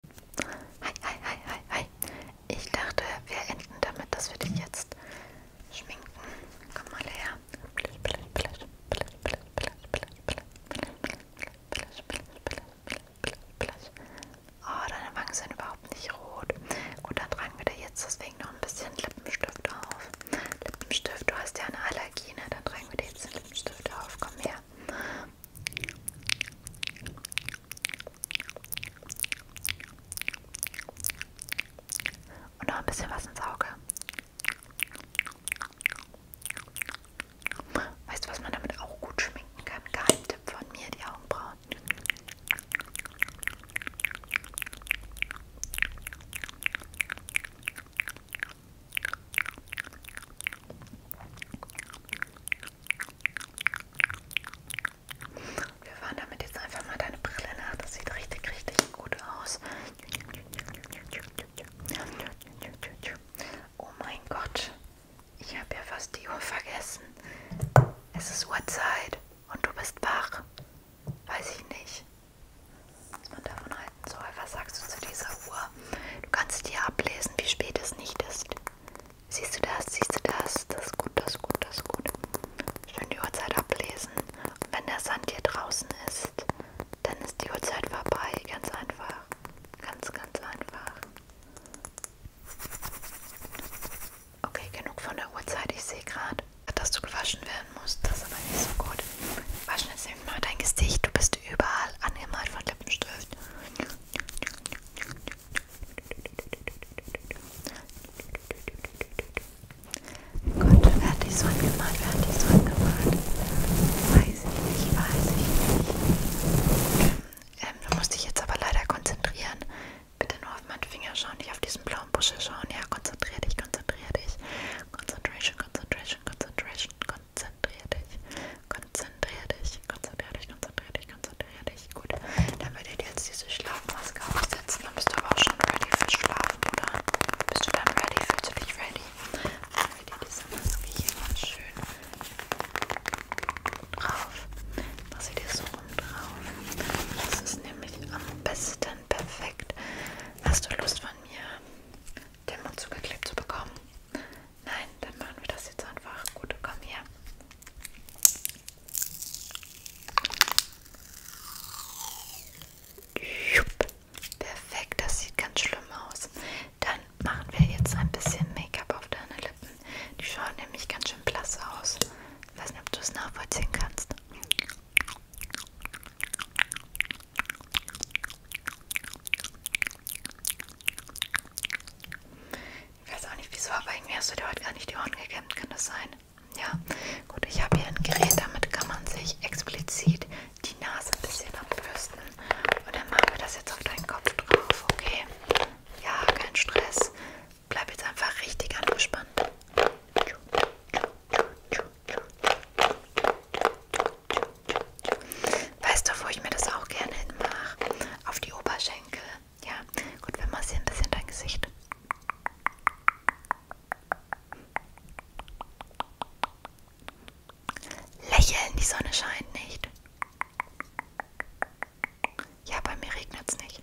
Hi, hi, hi, hi, hi. Ich dachte, wir enden damit, dass wir dich jetzt schminken. Komm mal her. Oh, deine Wangen sind überhaupt nicht rot. Gut, dann tragen wir dir jetzt deswegen noch ein bisschen Lippenstift auf. Lippenstift, du hast ja eine Allergie, ne? Dann tragen wir dir jetzt den Lippenstift auf. Komm her. Und noch ein bisschen was ins Auge. Weißt du, was man damit auch gut schminken kann? Geheimtipp von mir, die Augenbrauen. Wir fahren damit jetzt einfach mal deine Brille nach. Das sieht richtig, richtig gut aus. Oh mein Gott, ich habe ja fast die Uhr vergessen. Es ist Uhrzeit und du bist wach. Weiß ich nicht, was man davon halten soll. Was sagst du zu dieser Uhr? Du kannst dir ablesen, wie spät es nicht ist. Siehst du das? Siehst du das? Das ist gut, das ist gut, das ist gut. Schön die Uhrzeit ablesen. Und wenn der Sand hier draußen ist, dann ist die Uhrzeit vorbei. Ganz einfach. Ganz, ganz einfach. Okay, genug von der Uhrzeit. Ich sehe gerade, dass du gewaschen werden musst. Das ist aber nicht so gut. Waschen jetzt nämlich mal dein Gesicht. Du bist überall angemalt von Lippenstift. Gut, fertig, so angemalt, fertig, so angemalt. Weiß ich nicht, weiß ich nicht. Ähm, du musst dich jetzt aber leider konzentrieren. Bitte nur auf meine Finger schauen, nicht auf diesen blauen Buschel schauen. Ja, konzentrier dich, konzentrier dich. Concentration, Concentration, Concentration, konzentrier dich. Konzentrier dich, konzentrier dich, konzentrier dich, konzentrier dich. Gut, dann würde ich dir jetzt diese Schlafmaske aufsetzen. Dann bist du aber auch schon ready für Schlafen, oder? Bist du dann ready? Fühlst du dich ready? Dann würde ich dir diese Maske hier ganz schön drauf. Mach sie dir so rum drauf. Das ist nämlich am besten perfekt. Hast du Lust von mir, den Mund zugeklebt zu bekommen? Nein, dann machen wir das jetzt einfach. Gut, komm her. Perfekt, das sieht ganz schlimm aus. Dann machen wir jetzt ein bisschen Make-up auf deine Lippen. Die schauen nämlich ganz schön blass aus. Ich weiß nicht, ob du es nachvollziehen kannst. Ich weiß auch nicht wieso, aber irgendwie hast du dir heute gar nicht die Ohren gekämmt, kann das sein? Ja, gut, ich habe hier ein Gerät, damit kann man sich explizit die Nase ein bisschen abbürsten. Und dann machen wir das jetzt auf deinen Kopf drauf, okay? Ja, kein Stress. Bleib jetzt einfach richtig angespannt. Weißt du, wo ich mir das auch gerne hinmache? Auf die Oberschenkel. Ja, gut, wir massieren ein bisschen dein Gesicht. Lächeln, die Sonne scheint nicht. Ja, bei mir regnet es nicht.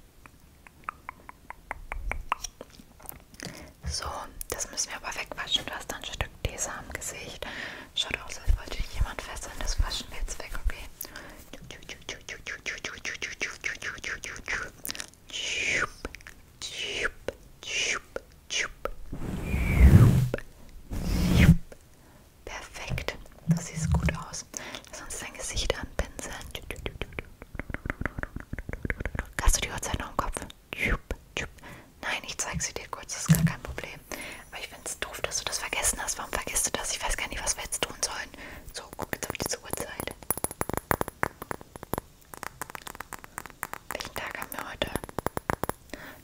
So, das müssen wir aber wegwaschen. Du hast ein Stück Tesa am Gesicht. Schaut aus, als wollte ich jemand fesseln. Das waschen wir jetzt weg, okay? Perfekt. Das sieht gut aus. Lass uns dein Gesicht anpinseln. Hast du die Uhrzeit noch im Kopf? Nein, ich zeige sie dir kurz, das ist gar kein Problem. Aber ich finde es doof, dass du das vergessen hast. Warum vergisst du das? Ich weiß gar nicht, was wir jetzt tun sollen. So, guck jetzt auf diese Uhrzeit. Welchen Tag haben wir heute?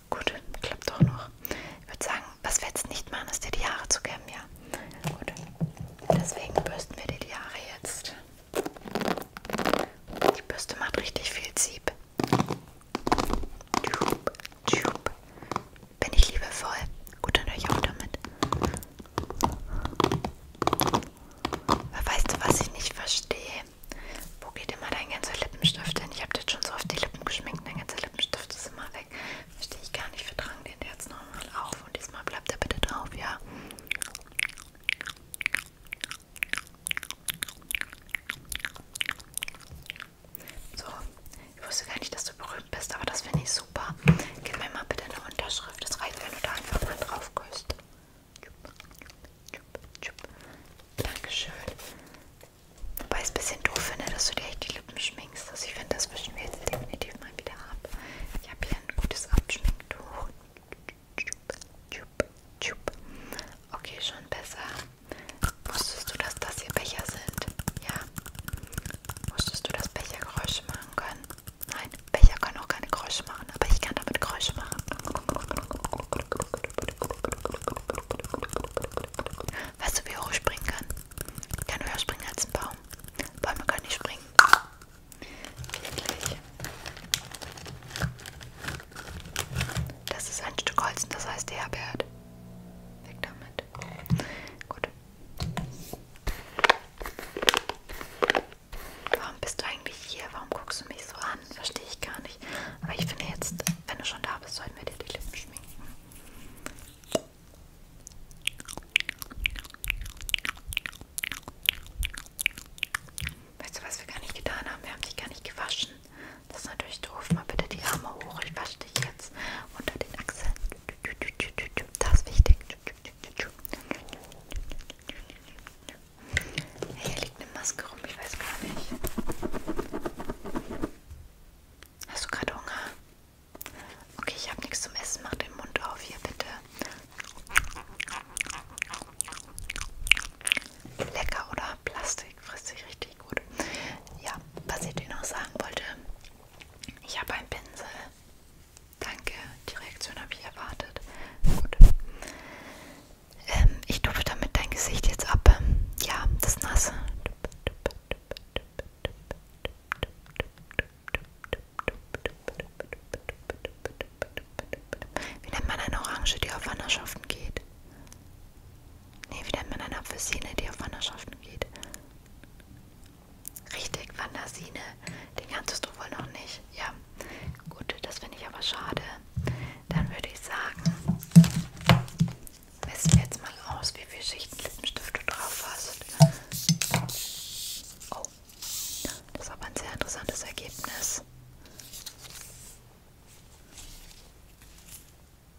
Gut, klappt doch noch. Ich würde sagen, was wir jetzt nicht machen, ist dir die Haare zu kämmen, ja? Gut. Deswegen bürsten wir dir die Haare jetzt. Die Bürste macht richtig viel Sieb. Bin ich liebevoll? Gut, dann höre ich auch damit. Aber weißt du, was ich nicht verstehe? Wo geht immer dein ganzer Lippenstift hin? Ich habe jetzt schon so oft die Lippen geschminkt, dein ganzer Lippenstift ist immer weg. Verstehe ich gar nicht. Wir tragen den jetzt nochmal auf und diesmal bleibt er bitte drauf, ja? So, ich wusste gar nicht, dass du berühmt bist, aber das finde ich super. Gib mir mal bitte eine Unterschrift. Das reicht, wenn du da einfach mal drauf küsst. Dankeschön. Wobei ich es ein bisschen doof finde, dass du dir echt die Lippen schminkst. Also ich finde, das wischen wir jetzt definitiv mal wieder ab. Ich habe hier ein gutes Abschminktuch. Tschup, tschup. Okay, schon besser. Wusstest du, dass das hier Becher sind? Ja. Wusstest du, dass Becher Geräusche machen können? Nein, Becher können auch keine Geräusche machen, aber ich kann damit Geräusche machen. Weißt du, wie hoch ich springen kann? Ich kann höher springen als ein Baum. Bäume können nicht springen. Wirklich. Das ist ein Stück Holz und das heißt Herbert. Weg damit. Gut. Warum bist du eigentlich hier? Warum guckst du mich so an? Verstehe ich gar nicht. Aber ich finde jetzt, wenn du schon da bist, sollten wir dir die Lippen schminken. Weißt du, was wir gar nicht getan haben? Wir haben dich gar nicht gewaschen. Das ist natürlich doof. Mal bitte die Arme hoch. Ich wasche dich jetzt unter den Achseln. Das ist wichtig. Hey, hier liegt eine Maske rum. Ich weiß gar nicht. Hast du gerade Hunger? Okay, ich habe nichts zum Essen. Mach den Mund auf hier, bitte. Lecker, oder? Plastik frisst sich richtig gut. Ja, was ich dir noch sagen wollte, ich habe einen Pinsel. Danke, die Reaktion habe ich erwartet. Gut. Ähm, ich tupfe damit dein Gesicht jetzt ab. Ähm, ja, das Nasse. Wie nennt man eine Orange, die auf Wanderschaften geht? Nee, wie nennt man eine Apfelsine, die auf Wanderschaften geht? Richtig, Wandersine. Den kanntest du wohl noch nicht. Ja, gut, das finde ich aber schade. Dann würde ich sagen, messen wir jetzt mal aus, wie viele Schichten Lippenstift du drauf hast. Oh, das ist aber ein sehr interessantes Ergebnis.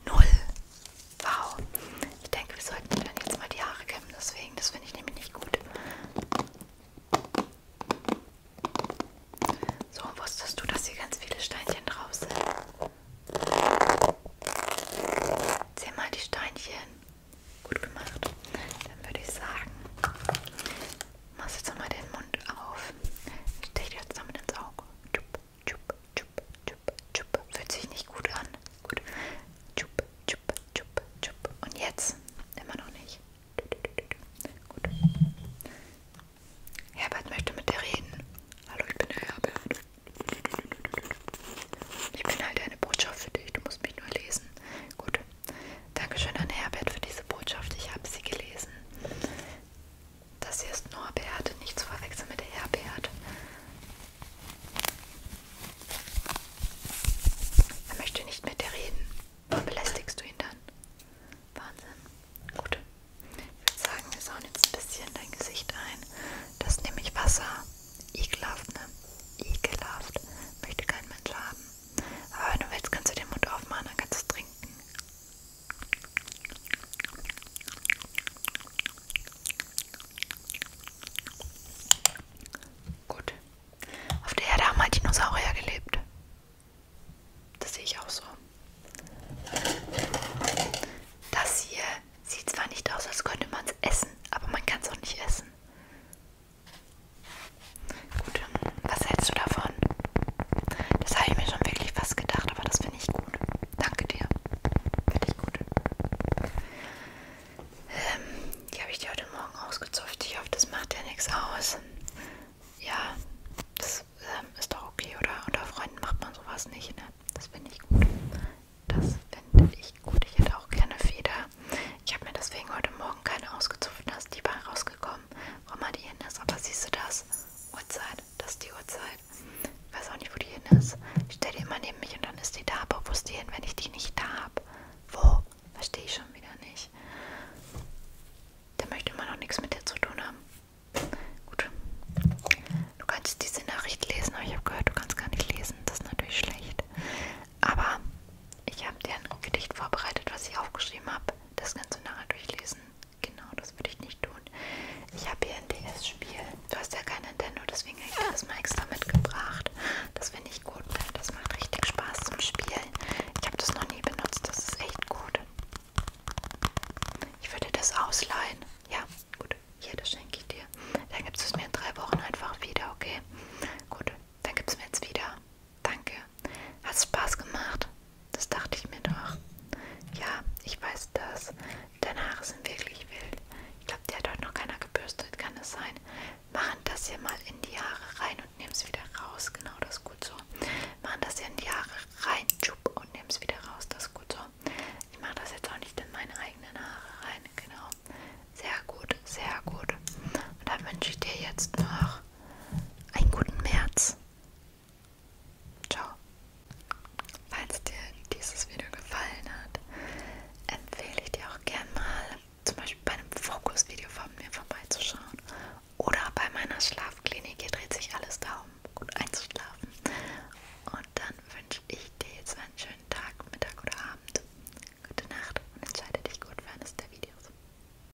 Null. Wow. Ich denke, wir sollten dann jetzt mal die Haare kämmen, deswegen, das finde ich nämlich nicht gut. So, wusstest du, dass hier ganz viele Steinchen drauf sind? Zähl mal die Steinchen. Gut gemacht. Dann würde ich sagen, machst jetzt nochmal den Mund auf. Stech dir jetzt damit ins Auge. Chup, chup, chup, chup, chup. Fühlt sich nicht gut an. Gut. Chup, chup, chup, chup. Und jetzt? Immer noch nicht. Gut. Herbert möchte mit dir reden. Hallo, ich bin der Herbert. Ich bin halt eine Botschaft für dich. Du musst mich nur lesen. Gut. Dankeschön an Herbert für diese Botschaft. Ich habe sie gelesen. Das hier ist Norbert, nicht zu verwechseln mit Herbert. Er möchte nicht mit dir reden. Warum belästigst du ihn dann? Wahnsinn. Gut. Ich würde sagen, wir sauen jetzt ein bisschen dein Gesicht ein. Das nehme ich Wasser. Ekelhaft, ne? Ekelhaft. Möchte kein Mensch haben. Aber wenn du willst, kannst du den Mund aufmachen, dann kannst du es trinken. Gut. Auf der Erde haben halt Dinosaurier gelebt. Das sehe ich auch so. Das hier sieht zwar nicht aus, als könnte man es essen, aber man kann es auch nicht essen. Gut, was hältst du davon? Das habe ich mir schon wirklich fast gedacht, aber das finde ich gut. Danke dir. Finde ich gut. Ähm, die habe ich dir heute Morgen ausgezupft. Ich hoffe, das macht dir nichts aus. Ja, das ähm, ist doch okay, oder? Unter Freunden macht man sowas nicht, ne? Das finde ich gut. Das finde ich gut. Ich hätte auch gerne Feder. Ich habe mir deswegen heute Morgen keine ausgezupft, dass die war rausgekommen warum, warum hat die hin ist. Aber siehst du das? Uhrzeit, das ist die Uhrzeit. Ich weiß auch nicht, wo die hin ist. Ich stelle die immer neben mich und dann ist die da. Aber wo ist die hin, wenn ich die nicht da habe? Wo? Verstehe ich schon wieder nicht. Der möchte immer noch nichts mit dir zu tun haben. Gut. Du kannst diese Nachricht lesen, aber ich habe gehört, du kannst gar nicht lesen. Das ist natürlich schlecht. Aber ich habe dir ein Gedicht vorbereitet, was ich aufgeschrieben habe. Das kannst du nachher durchlesen. Genau, das würde ich nicht tun. Ich habe hier ein DS-Spiel. Du hast ja kein Nintendo, deswegen habe ich das mal extra mitgebracht. Das finde ich gut, weil das macht richtig Spaß zum Spielen. Ich habe das noch nie benutzt, das ist echt gut. Ich würde das ausleihen. Ja, gut. Hier, das schenke ich dir. Dann gibst du es mir in drei Wochen einfach wieder, okay? Gut, dann gibst du mir jetzt wieder. Danke. Hat Spaß gemacht? Das dachte ich mir doch. Ja, ich weiß das. Deine Haare sind wirklich wild. Ich glaube, der hat heute noch keiner gebürstet, kann es sein. Machen das hier mal in die Haare rein und nehmen es wieder raus. Genau, das ist gut so. Machen das hier in die Haare rein, tschupp, und nehmen es wieder raus. Das ist gut so. Ich mache das jetzt auch nicht in meine eigenen Haare rein. Genau. Sehr gut, sehr gut. Und dann wünsche ich dir jetzt noch einen guten März. Ciao. Falls dir dieses Video gefallen hat, empfehle ich dir auch gerne mal, zum Beispiel bei einem Fokus-Video von mir vorbeizuschauen oder bei meiner Schlafklinik. Hier dreht sich alles darum, gut einzuschlafen. Und dann wünsche ich dir jetzt einen schönen Tag, Mittag oder Abend. Gute Nacht und entscheide dich gut für eines der Videos.